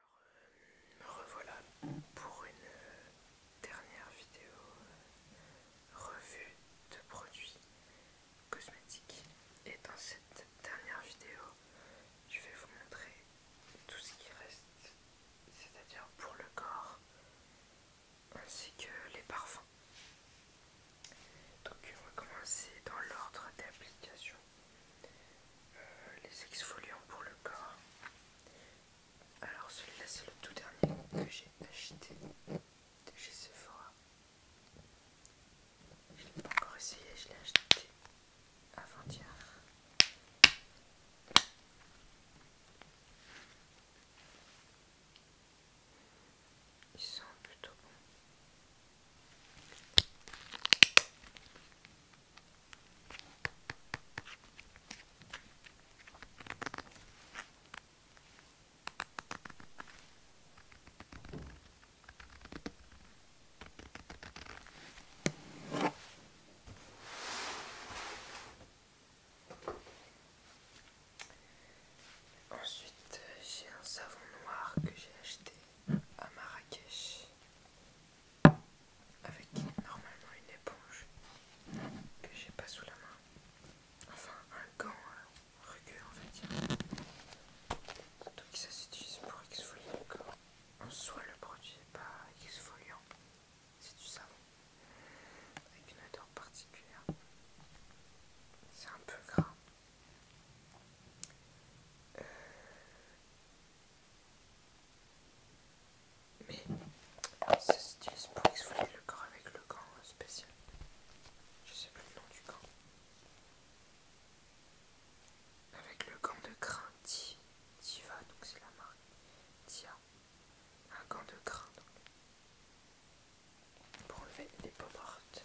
Alors euh, me revoilà pour une euh, dernière vidéo euh, revue de produits cosmétiques et dans cette dernière vidéo je vais vous montrer tout ce qui reste c'est-à-dire pour le corps ainsi que les parfums. Donc on va commencer dans l'ordre d'application. Euh, les exfoliants pour le corps. Alors celui-là c'est le tout dernier que j'ai acheté de chez Sephora. Je ne l'ai pas encore essayé, je l'ai acheté avant-hier. Ils sont plutôt bons. Ensuite, j'ai un savon noir que j'ai acheté à Marrakech avec normalement une éponge que j'ai pas sous la main. Enfin, un gant euh, rugueux, on va dire. que ça s'utilise pour exfolier le corps. En soi, le produit n'est pas exfoliant, c'est du savon avec une odeur particulière. C'est un peu gras. Euh, mais ça se stylé pour exfolier le corps avec le gant euh, spécial. Je sais plus le nom du gant. Avec le gant de grain Tiva, donc c'est la marque Tia. Un gant de grain Pour enlever les pommes mortes.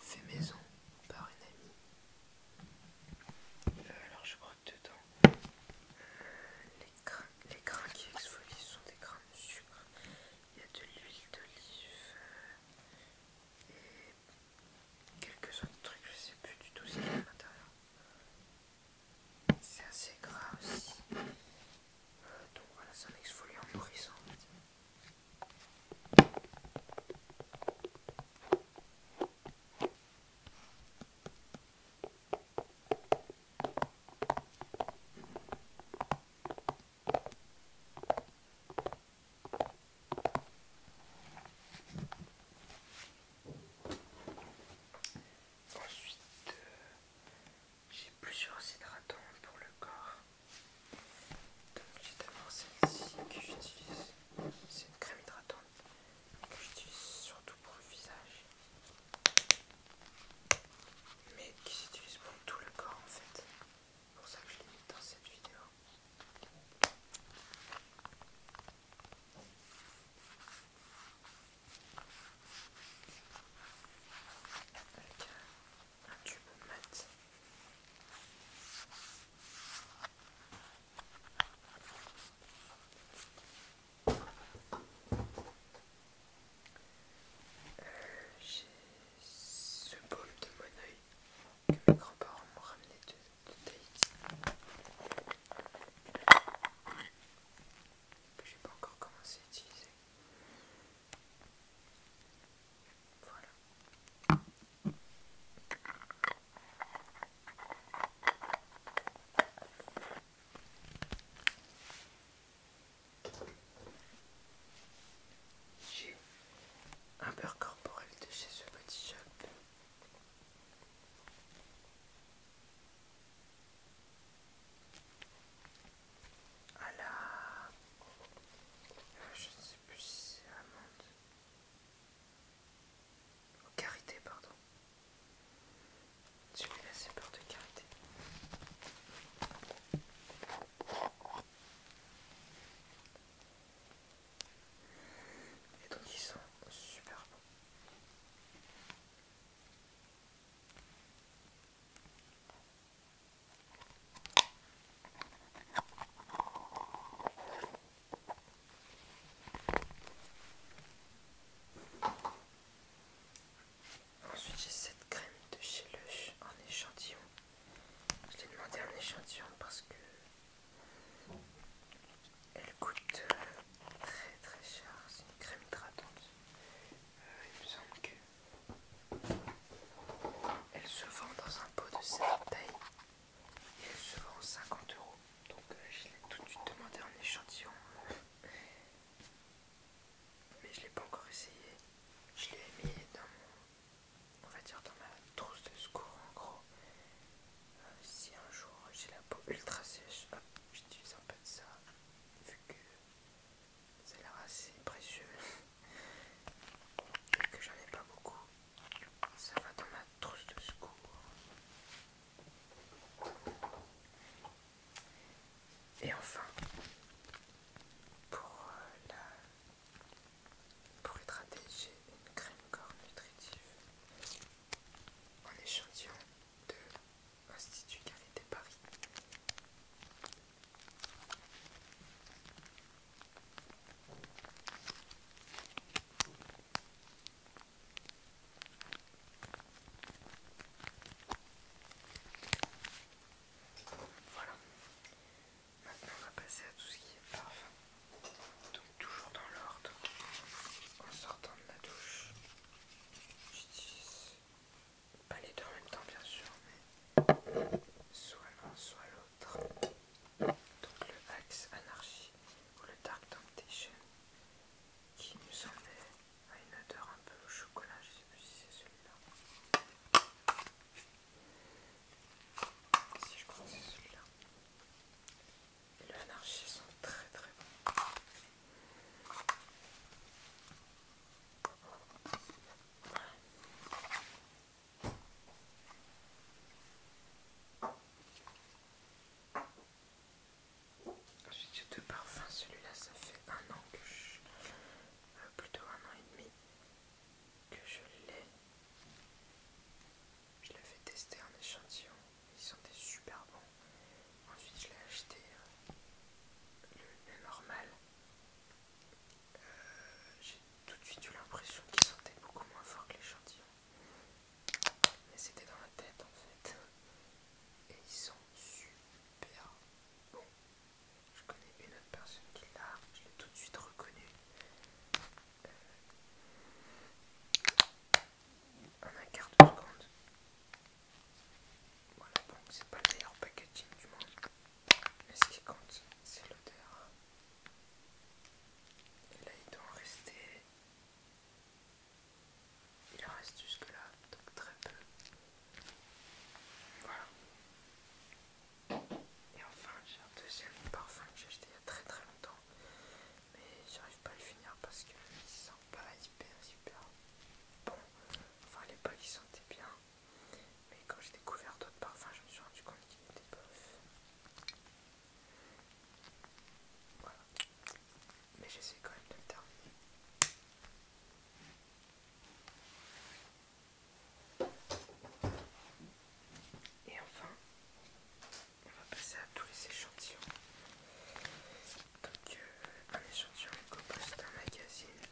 fait maison par une amie. Euh, alors je crois dedans, les, grains, les qui exfolient sont des grains de sucre. Il y a de l'huile d'olive euh, et quelques autres trucs, je sais plus du tout ce qu'il y a à l'intérieur. C'est assez gras aussi. Euh, donc voilà, c'est un exfoliant nourrissant. En Ensuite, euh, j'ai plusieurs hydratants pour le corps. Donc j'ai d'abord celle-ci que j'utilise, c'est une crème hydratante que j'utilise surtout pour le visage, mais qui s'utilise pour tout le corps en fait. C'est pour ça que je l'ai mis dans cette vidéo un tube mat. J'ai ce bol de mon oeil que mes grands-parents m'ont ramené de, Tahiti. Que j'ai pas encore commencé à utiliser. J'ai un beurre corporel de chez ce petit shop à la... Euh, je ne sais plus si c'est amande. Au karité, pardon. Celui-là, c'est peur de carité. Et donc, ils sont super bons. Ensuite, j'ai cette crème de chez Lush en échantillon. Je l'ai demandé en échantillon parce que elle coûte euh, très très cher. C'est une crème hydratante. Euh, il me semble que elle se vend dans un pot de cette taille et elle se vend 50 euros. Donc euh, je l'ai tout de suite demandé en échantillon. Mais je l'ai pas encore essayé. Je l'ai mis dans mon, on va dire dans ma trousse de secours en gros. Euh, si un jour j'ai la peau ultra sèche, j'utilise un peu de ça. que c'est la l'air assez précieux que j'en ai pas beaucoup ça va dans ma trousse de secours et enfin pour euh, la pour hydrater j'ai une crème corps nutritive en échantillon de Institut Carité Paris. Voilà. Maintenant, on va passer à tout ce qui est parfum. Donc, toujours dans l'ordre. En sortant de la douche, j'utilise pas les deux en même temps bien sûr, mais soit l'un, soit l'autre. Donc le Axe Anarchie, ou le Dark Temptation qui nous semblait à une odeur un peu au chocolat, je sais plus si c'est celui-là. Si je crois que c'est celui-là. Et le Anarchy sont très très bons. Ensuite, j'ai deux parfums. Celui-là, ça fait un an que je. Euh, plutôt un an et demi que je l'ai. Je l'avais testé en échantillon. Ils sont super bons. Ensuite, je l'ai acheté euh, le, normal. Euh, j'ai tout de suite eu l'impression qu'il sentait beaucoup moins fort que l'échantillon. Mais c'était dans la tête en fait. Et ils sont super bon. Je connais une autre personne qui l'a, je l'ai tout de suite reconnu euh, en un quart de seconde, voilà, donc c'est pas le meilleur packaging du monde, mais ce qui compte, c'est l'odeur. Et là, il doit en rester. Il en reste jusque-là, donc très peu. Voilà. Et enfin, j'ai un deuxième parfum que j'ai acheté il y a très très longtemps, mais j'arrive pas à le finir parce que sent pas bah, hyper super bon. Enfin, les l'époque, ils sentait bien. Mais quand j'ai découvert d'autres parfums, je me suis rendu compte qu'il étaient bof. Voilà. Mais j'essaie quand même de le terminer. Et enfin, on va passer à tous les échantillons. Donc on un sur le c'est d'un magazine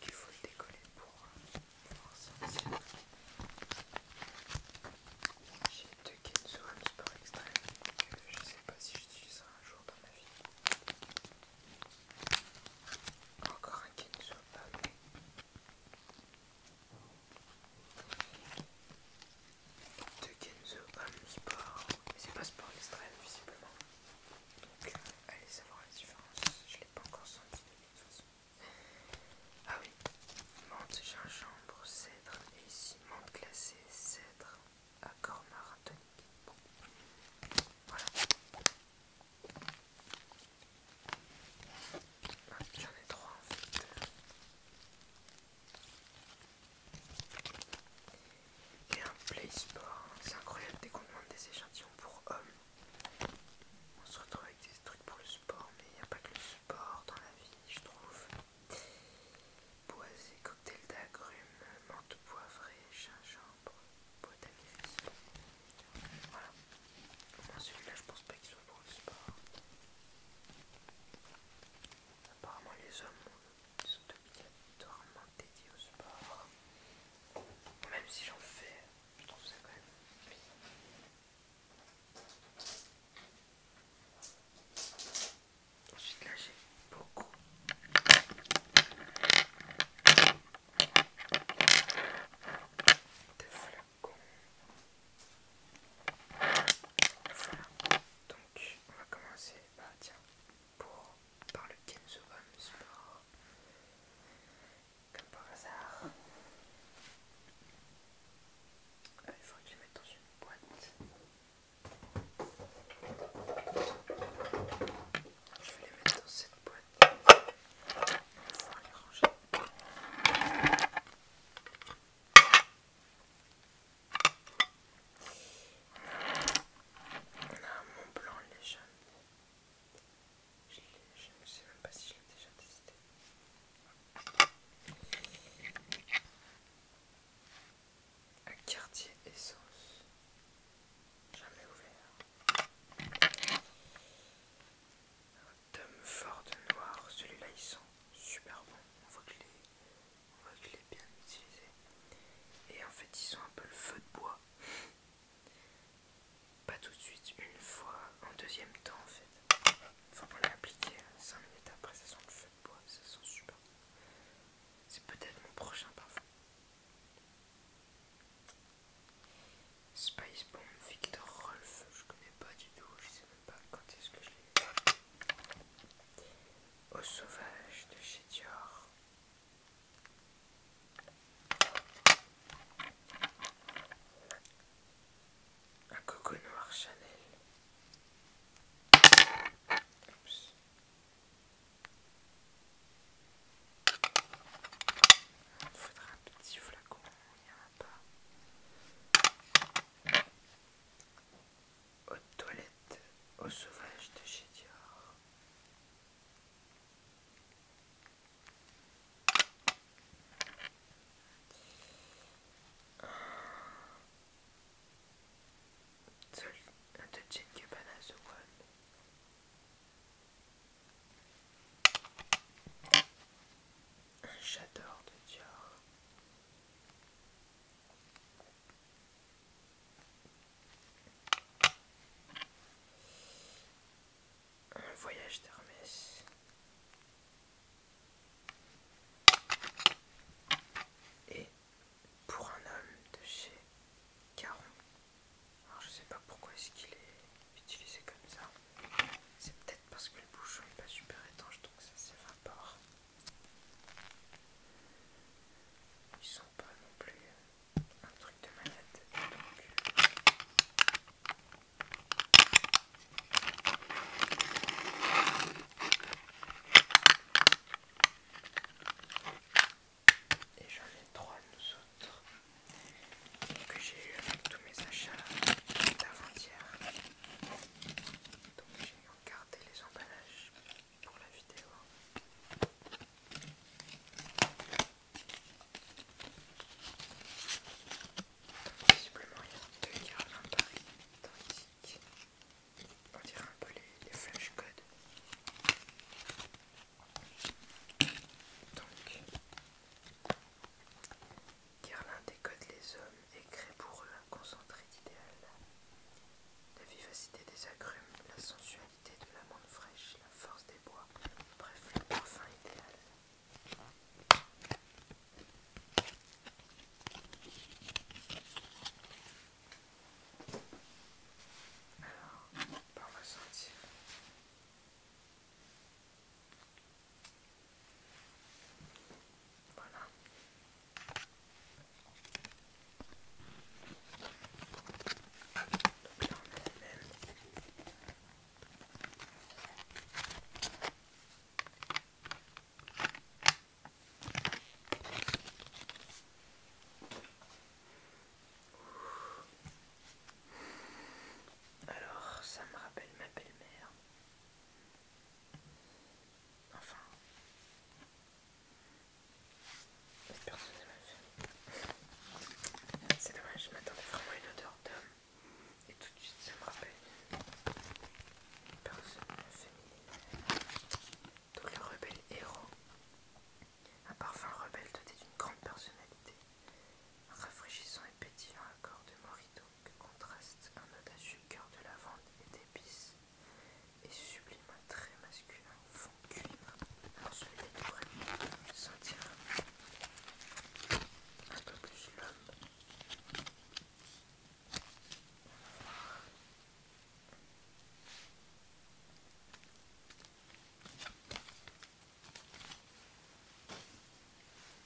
qu'il faut décoller euh, pour voir si C'est sortir. J'ai deux Kenzo un sport extrême que euh, je sais pas si j'utiliserai un jour dans ma vie. Encore un Kenzo à Deux Kenzo Sport, mais c'est pas sport extrême visiblement. Donc, allez savoir la différence. Je ne l'ai pas encore senti de toute façon. Ah oui, menthe, gingembre, cèdre et ici menthe glacée, cèdre, accord marathonique. Bon, voilà. Ah, j'en ai trois en fait. Et un play sport, c'est incroyable dès qu'on demande des échantillons pour hommes. On se retrouve avec des trucs pour le sport, mais il n'y a pas que le sport dans la vie, je trouve. Boisé, cocktail d'agrumes, menthe poivrée, gingembre, bois à Voilà. celui-là, je pense pas qu'il soit pour le sport. Apparemment, les hommes sont de obligatoirement dédié au sport. Même si j'en fais, je trouve ça quand même bien. Ensuite là j'ai beaucoup de flacons. Voilà. Donc on va commencer. Bah tiens, pour, par le Kenzo Home Sport, comme par hasard. Euh, il faudrait que je les mette dans une boîte. Je vais les mettre dans cette boîte. Il les ranger. On a un Mont Blanc légende. Je ne sais même pas si je l'ai déjà testé. Un quartier essence. Jamais ouvert. Un tome fort noir. Celui-là, il sent super bon, On voit que les on voit que je l'ai bien utilisé et en fait ils sont un peu le feu de bois pas tout de suite une fois en deuxième temps en fait Faut pour l'appliquer hein. cinq 5 minutes après ça sent le feu de bois ça sent super c'est peut-être mon prochain parfum Spice Bomb Victor Rolf je connais pas du tout je sais même pas quand est-ce que je l'ai au sauvage de chez Dior. Un coco noir Chanel. faudra un petit flacon, il n'y a pas aux toilettes au sauvage de chez Dior. Un de Gene Cabana The One. Un j'adore de Dior. Un voyage d'Hermès. Et pour un homme de chez Caron. Alors je sais pas pourquoi est-ce qu'il est utilisé comme ça. C'est peut-être parce que le bouchon n'est pas super étanche donc ça s'évapore. Ils sont pas non plus un truc de malade. Donc... Et j'en ai trois nous autres que j'ai eu avec tous mes achats d'avant-hier. Regardez les emballages pour la vidéo. Possiblement il y a deux cartes paris identiques. On dirait un peu les, les flashcodes. Donc, Guerlain décode les hommes et crée pour eux un concentré d'idéal. La vivacité des agrumes, la sensualité de la menthe fraîche, la force des bois, bref, le parfum idéal. Alors, on Voilà. Alors, ça me rappelle ma belle-mère. Enfin, personne ne ma famille. C'est dommage, je m'attendais vraiment à une odeur d'homme. Et tout de suite, ça me rappelle une personne féminine. Donc, le rebelle héros, un parfum rebelle doté d'une grande personnalité, rafraîchissant et pétillant à corps de morito que contraste un note à sucre de lavande et d'épices et sublime un trait masculin fond cuivre. Alors je vais sentir un peu plus l'homme.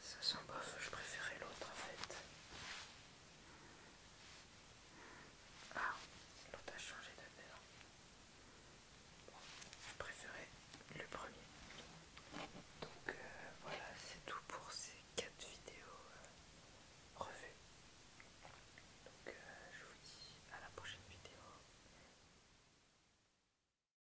Ça sent bof, je préférais l'autre en fait. Ah, l'autre a changé de Bon, je préférais le premier. Donc euh, voilà, c'est tout pour ces quatre vidéos euh, revues. Donc euh, je vous dis à la prochaine vidéo.